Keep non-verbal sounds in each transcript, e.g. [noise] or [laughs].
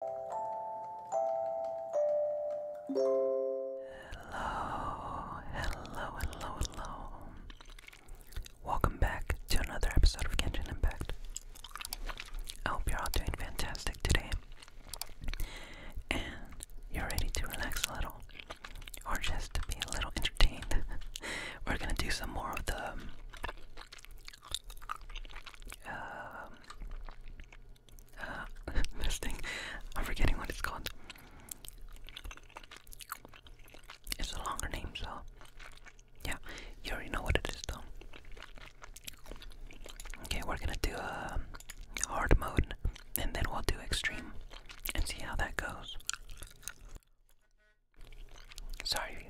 Hello, hello, hello, hello. Welcome back to another episode of Genshin Impact. I hope you're all doing fantastic today. And you're ready to relax a little. Or just to be a little entertained. [laughs] We're gonna do some more of the um, [laughs] this thing. I'm forgetting what it's called. It's a longer name, so yeah, you already know what it is, though. Okay, we're gonna do a um, hard mode, and then we'll do extreme, and see how that goes. Sorry.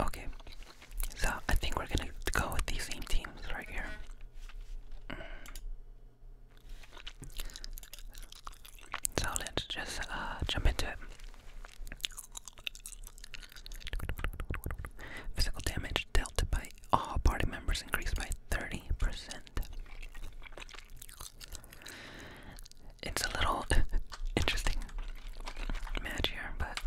Okay, so I think we're gonna go with these same teams right here. So let's just uh, jump into it. Physical damage dealt by all party members increased by 30%. It's a little [laughs] interesting mad but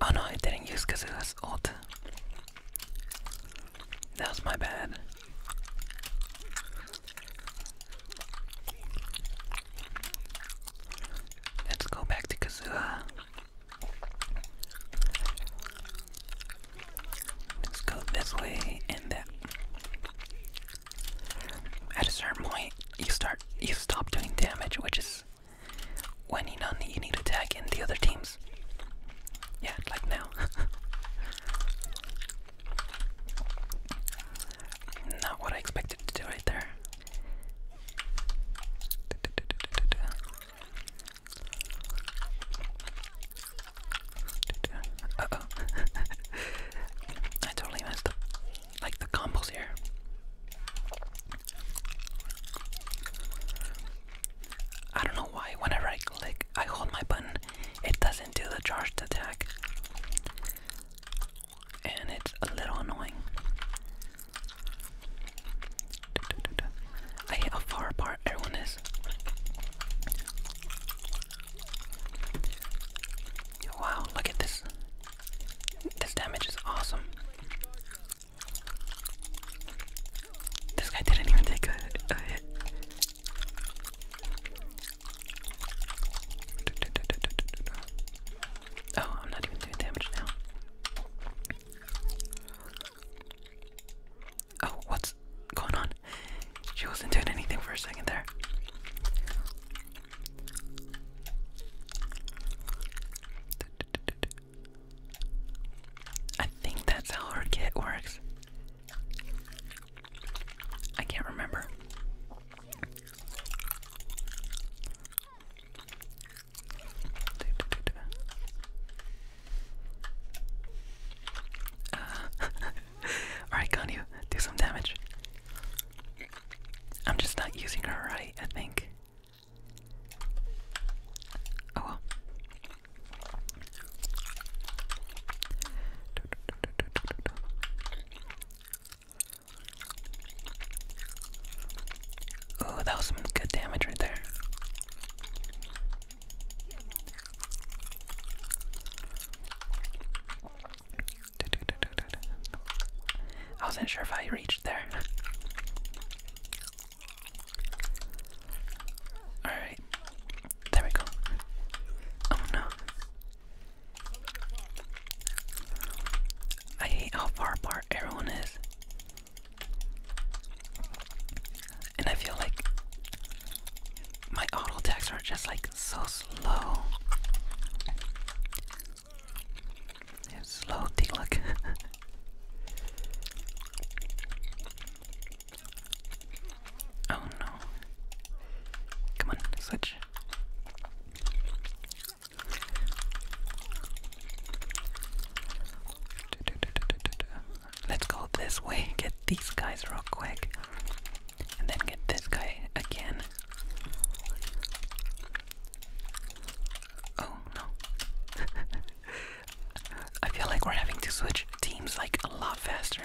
oh no, I didn't use because it That was my bad. Let's go back to Kazua. Let's go this way and that. At a certain point, you start, you stop doing damage, which is when you know you need to tag in the other teams. Yeah, like now. [laughs] Not what I expected to do right there. Uh oh. [laughs] I totally messed up like the combos here. I don't know why whenever I click I hold my button it doesn't do the charged attack. And it's a little annoying. I hate how far apart everyone is. Wow, look at this. This damage is awesome. This guy didn't even take a, hit. Oh, I'm not even doing damage now. Oh, what's going on? She wasn't doing anything for a second there. I think that's how her kit works. I can't remember. Uh, [laughs] Alright, can do some damage? I'm just not using her right, I think. Oh well. Oh, that was some good damage right there. I wasn't sure if I reached there. Alright. There we go. Oh no. I hate how far apart everyone is. And I feel like my auto attacks are just like so slow. It's slow take look. [laughs] oh no. Come on, switch. Let's go this way, get these guys real quick. And then get this guy again. Oh no. [laughs] I feel like we're having to switch teams like a lot faster.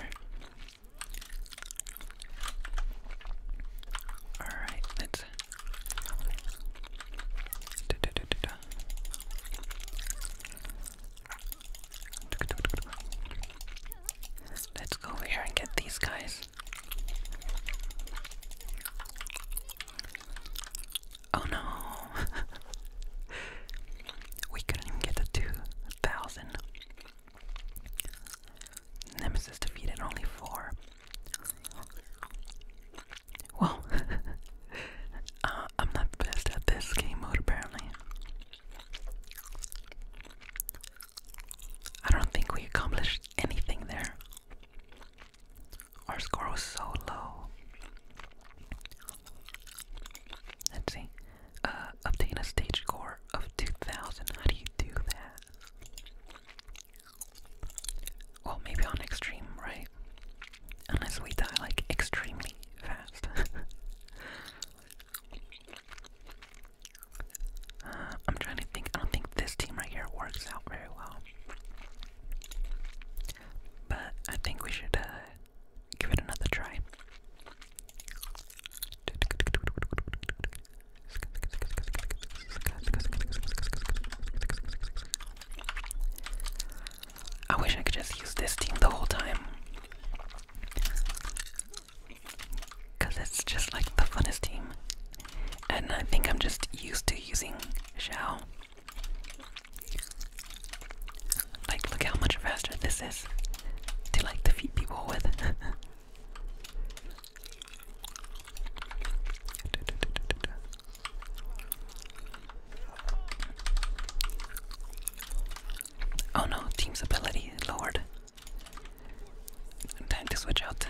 Alright, let's. Let's go over here and get these guys. Oh no! [laughs] we couldn't even get to 2,000. Nemesis defeated only four. Well, [laughs] uh, I'm not the best at this game mode apparently. I don't think we accomplished anything there. Our score was so low. Let's see. Uh, obtain a stage score of 2000. How do you do that? Well, maybe on extreme, right? Unless we die like extremely fast. [laughs] I'm trying to think. I don't think this team right here works out very well. But I think we should uh, give it another try. I wish I could just use this team the whole time. Because it's just like the funnest team. And I think I'm just used to using Xiao. Like, look how much faster this is to like defeat people with. [laughs] oh no, team's ability lowered. Time to switch out.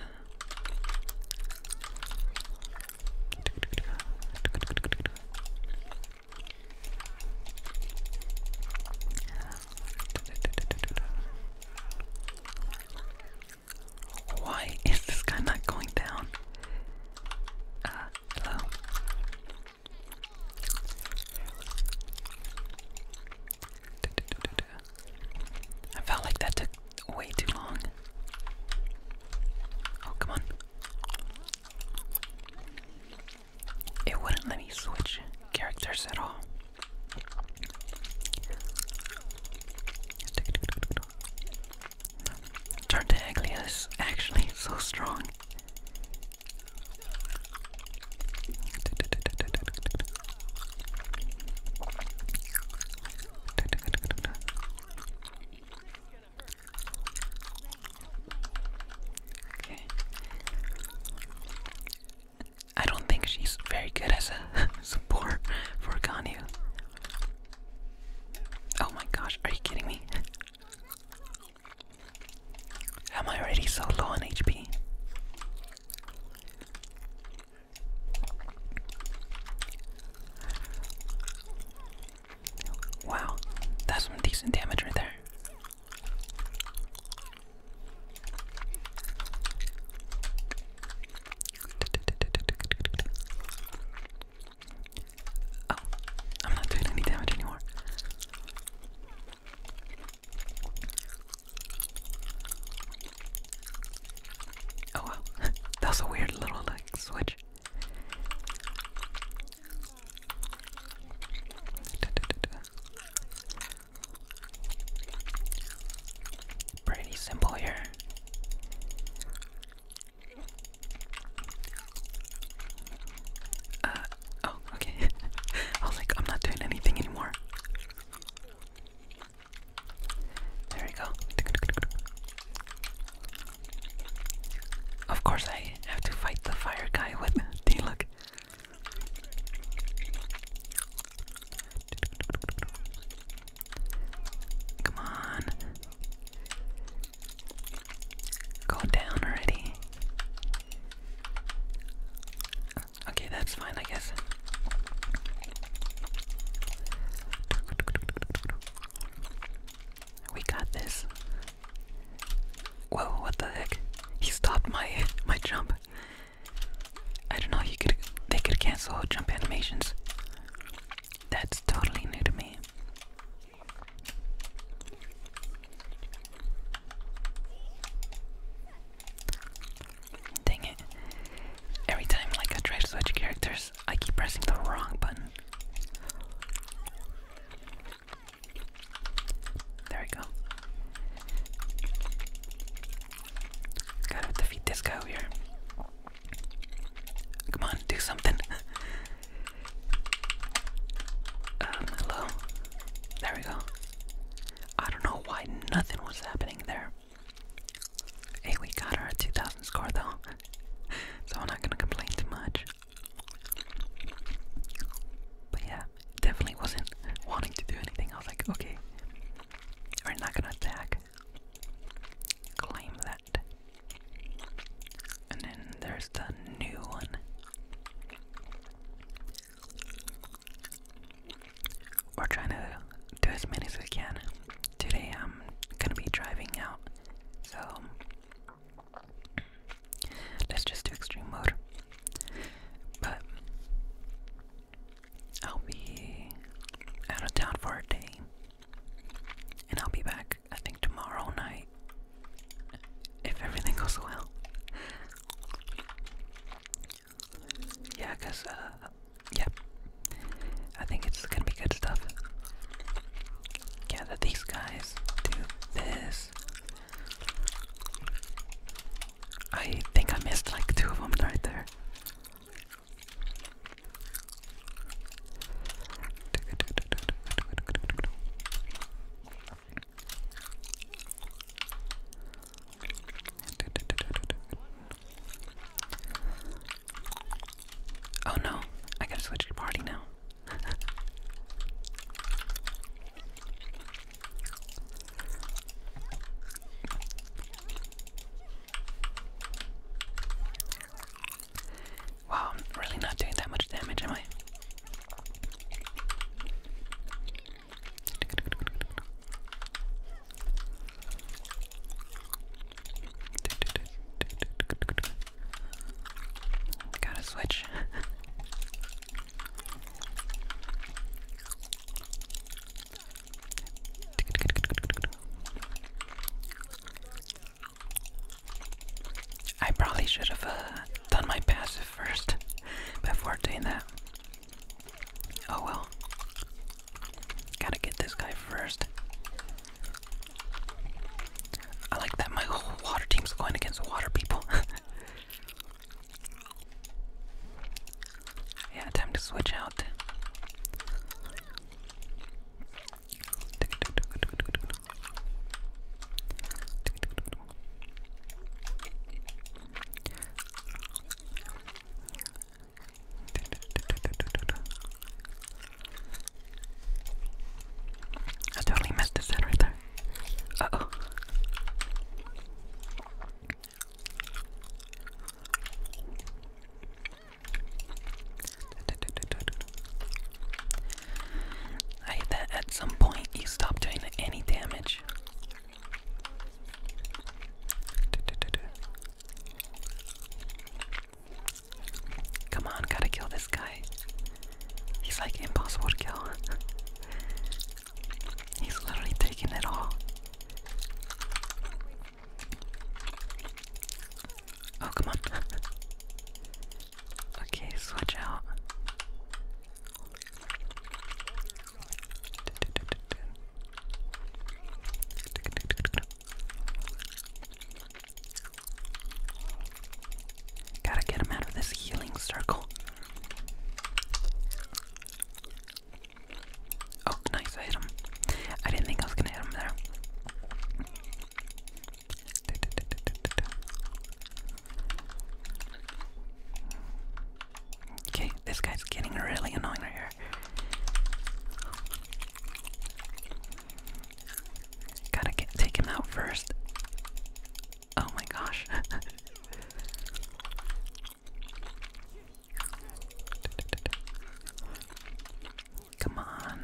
Why is this guy not going down? Uh, hello. I felt like that took way too long. Oh, come on. It wouldn't let me switch characters at all. Tartaglia is actually so strong. Okay. I don't think she's very good as a [laughs] support for Ganyu. Oh my gosh, are you kidding me? Am I already so low on HP? Wow, that's some decent damage right there. Oh, I'm not doing any damage anymore. Oh wow, [laughs] that was a weird little like switch. Pretty simple here. Uh, oh, okay. [laughs] I was like, I'm not doing anything anymore. There we go. Of course, I have to fight the fire guy with the look. Come on. Go down already. Okay, that's fine, I guess. We got this. Whoa, what the heck? He stopped my [laughs] my jump. I don't know, he could they could cancel jump animations. That's totally new to me. Dang it. Every time like I try to switch characters, I keep pressing the wrong button. There we go. Gotta defeat this guy here. Come on, do something. [laughs] Um, hello. There we go. I don't know why nothing was happening there. Hey, we got our 2000 score though, [laughs] so I'm not gonna complain too much. But yeah, definitely wasn't wanting to do anything. I was like, okay, we're not gonna attack. Claim that. And then there's the new one. We're trying to do as many as we can. Today I'm gonna be driving out, so let's just do extreme mode. But I'll be out of town for a day, and I'll be back, I think, tomorrow night if everything goes well. Yeah, cause uh, yeah, I think it's gonna be good stuff. Yeah, that these guys do this. I think I missed like two of them right there. Oh no, I gotta switch to party now. wow, I'm really not doing that much damage, am I? Gotta switch. I probably should have uh, done my passive first before doing that. Oh well. Gotta get this guy first. I like that my whole water team's going against water people. [laughs] yeah, time to switch out. I totally missed his head right there. I hate that at some point you stop doing any damage. Come on, gotta kill this guy. He's like impossible to kill. [laughs] He's literally taking it all. Oh, come on. [laughs] okay, switch out. Gotta get him out of this healing circle. Oh, nice, I hit him. I didn't think I was gonna hit him there. Okay, this guy's getting really annoying right here. Gotta get, take him out first. Oh my gosh. [laughs] Come on.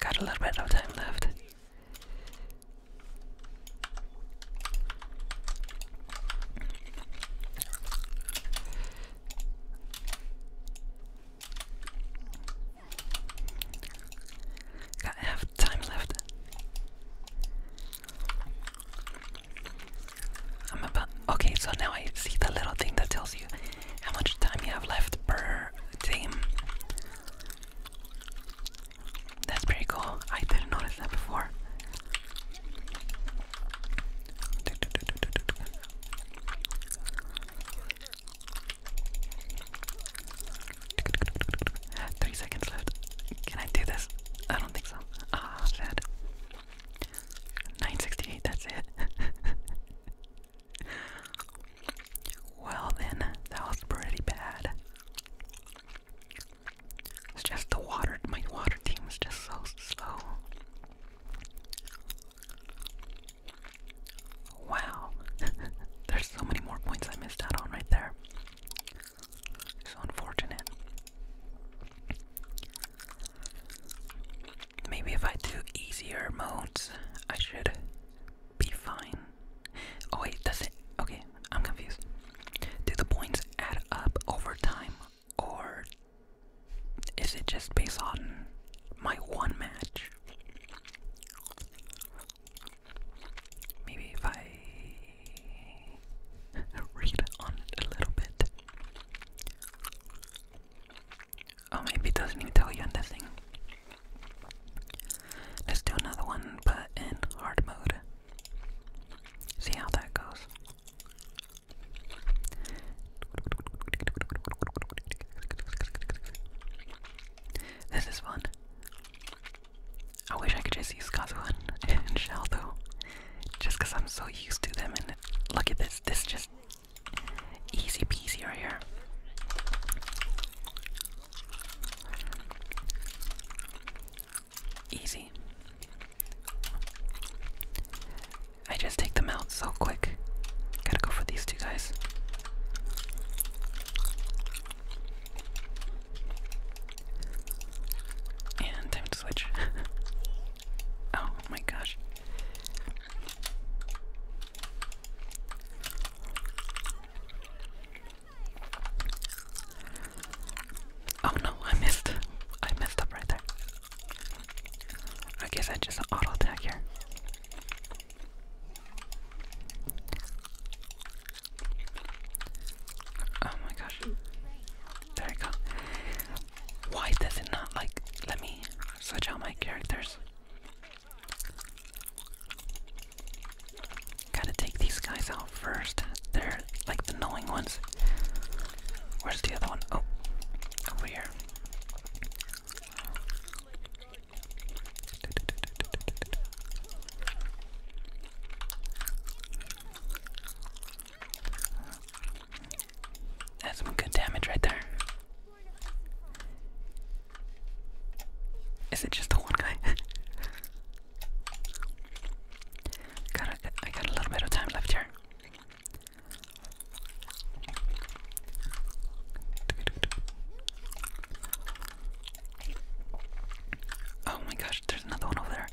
Got a little bit of time left. Got half time left. I'm about okay, so now I see the little thing that tells you how much time you have left per team. That's pretty cool. I didn't notice that before. Three seconds left. Can I do this? I don't think so. Ah, sad. 968, that's it. [laughs] well, then, that was pretty bad. It's just the water, my water team is just so slow. Wow. [laughs] There's so many more points I missed out on right there. So unfortunate. Maybe if I do easier modes, I should be fine. Oh wait, does it? Okay, I'm confused. Do the points add up over time or is it just based on my one match? Maybe if I [laughs] read on it a little bit. Oh, maybe it doesn't even tell you anything. Let's do another one, but in hard mode. See how that goes. This is fun. I wish I could just use Kazuhan and Shell though. Just because I'm so used to them and look at this, this just easy peasy right here. Easy. I just take them out so quick. Gotta go for these two guys. And time to switch. [laughs] oh my gosh. Oh no, I missed. I messed up right there. I guess I just auto attack here. Oh my gosh. There we go. Why does it not like let me switch out my characters? Gotta take these guys out first. They're like the knowing ones. Where's the other one? Oh, over here. That's some good damage right there. Is it just the one guy? [laughs] got got a little bit of time left here. Oh my gosh, there's another one over there.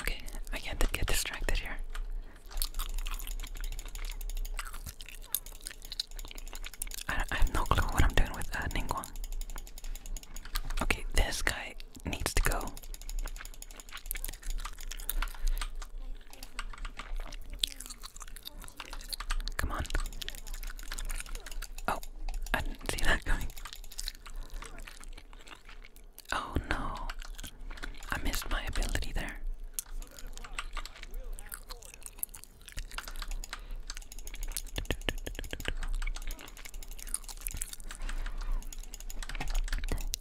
Okay, I can't get distracted here. I, I have no clue what I'm doing with uh, Ningguang. Okay, this guy needs to go. Come on. Oh, I didn't see that coming. Oh no, I missed my ability there.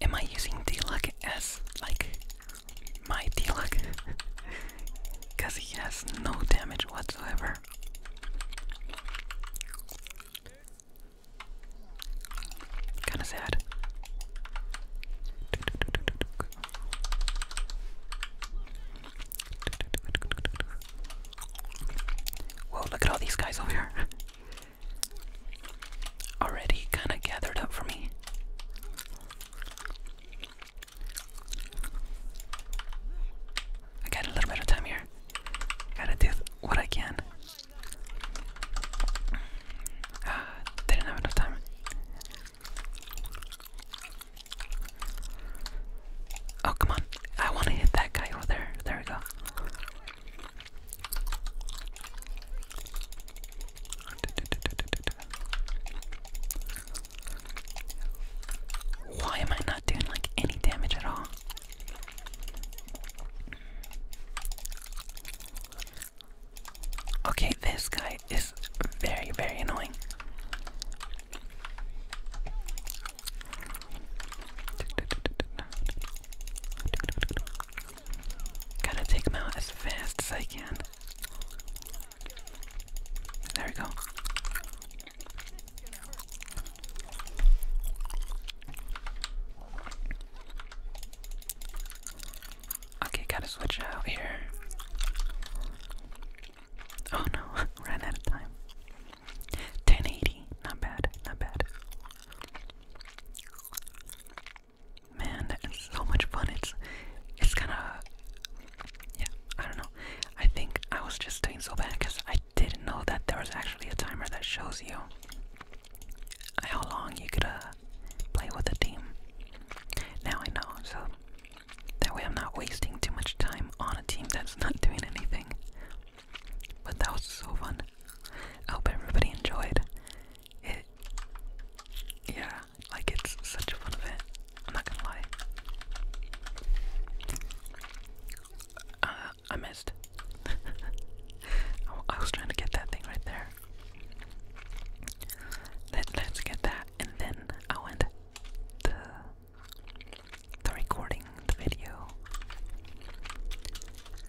Am I using Diluc as like my Diluc? [laughs] Cause he has no damage whatsoever. Kinda sad. Whoa, look at all these guys over here. [laughs] already kind of gathered up for me. I got a little bit of time here. Gotta do what I can. Ah, didn't have enough time. Oh, come on. I want to hit that guy over there. There we go. Why am I not doing like any damage at all? Okay, this guy is very, very annoying. Gotta take them out as fast as I can. There we go. Okay, gotta switch out here. Oh no, [laughs] ran out of time. 1080, not bad, not bad. Man, it's so much fun. It's it's kind of yeah. I don't know. I think I was just doing so bad because I didn't know that there was actually a timer that shows you how long you could play with a team. Now I know, so that way I'm not wasting too much time on a team that's [laughs] not doing anything. But that was so fun. I hope everybody enjoyed. It, yeah, like it's such a fun event. not gonna lie. Uh, I missed. [laughs] I was trying to get that thing right there. Let, let's get that, and then I went the the recording the video.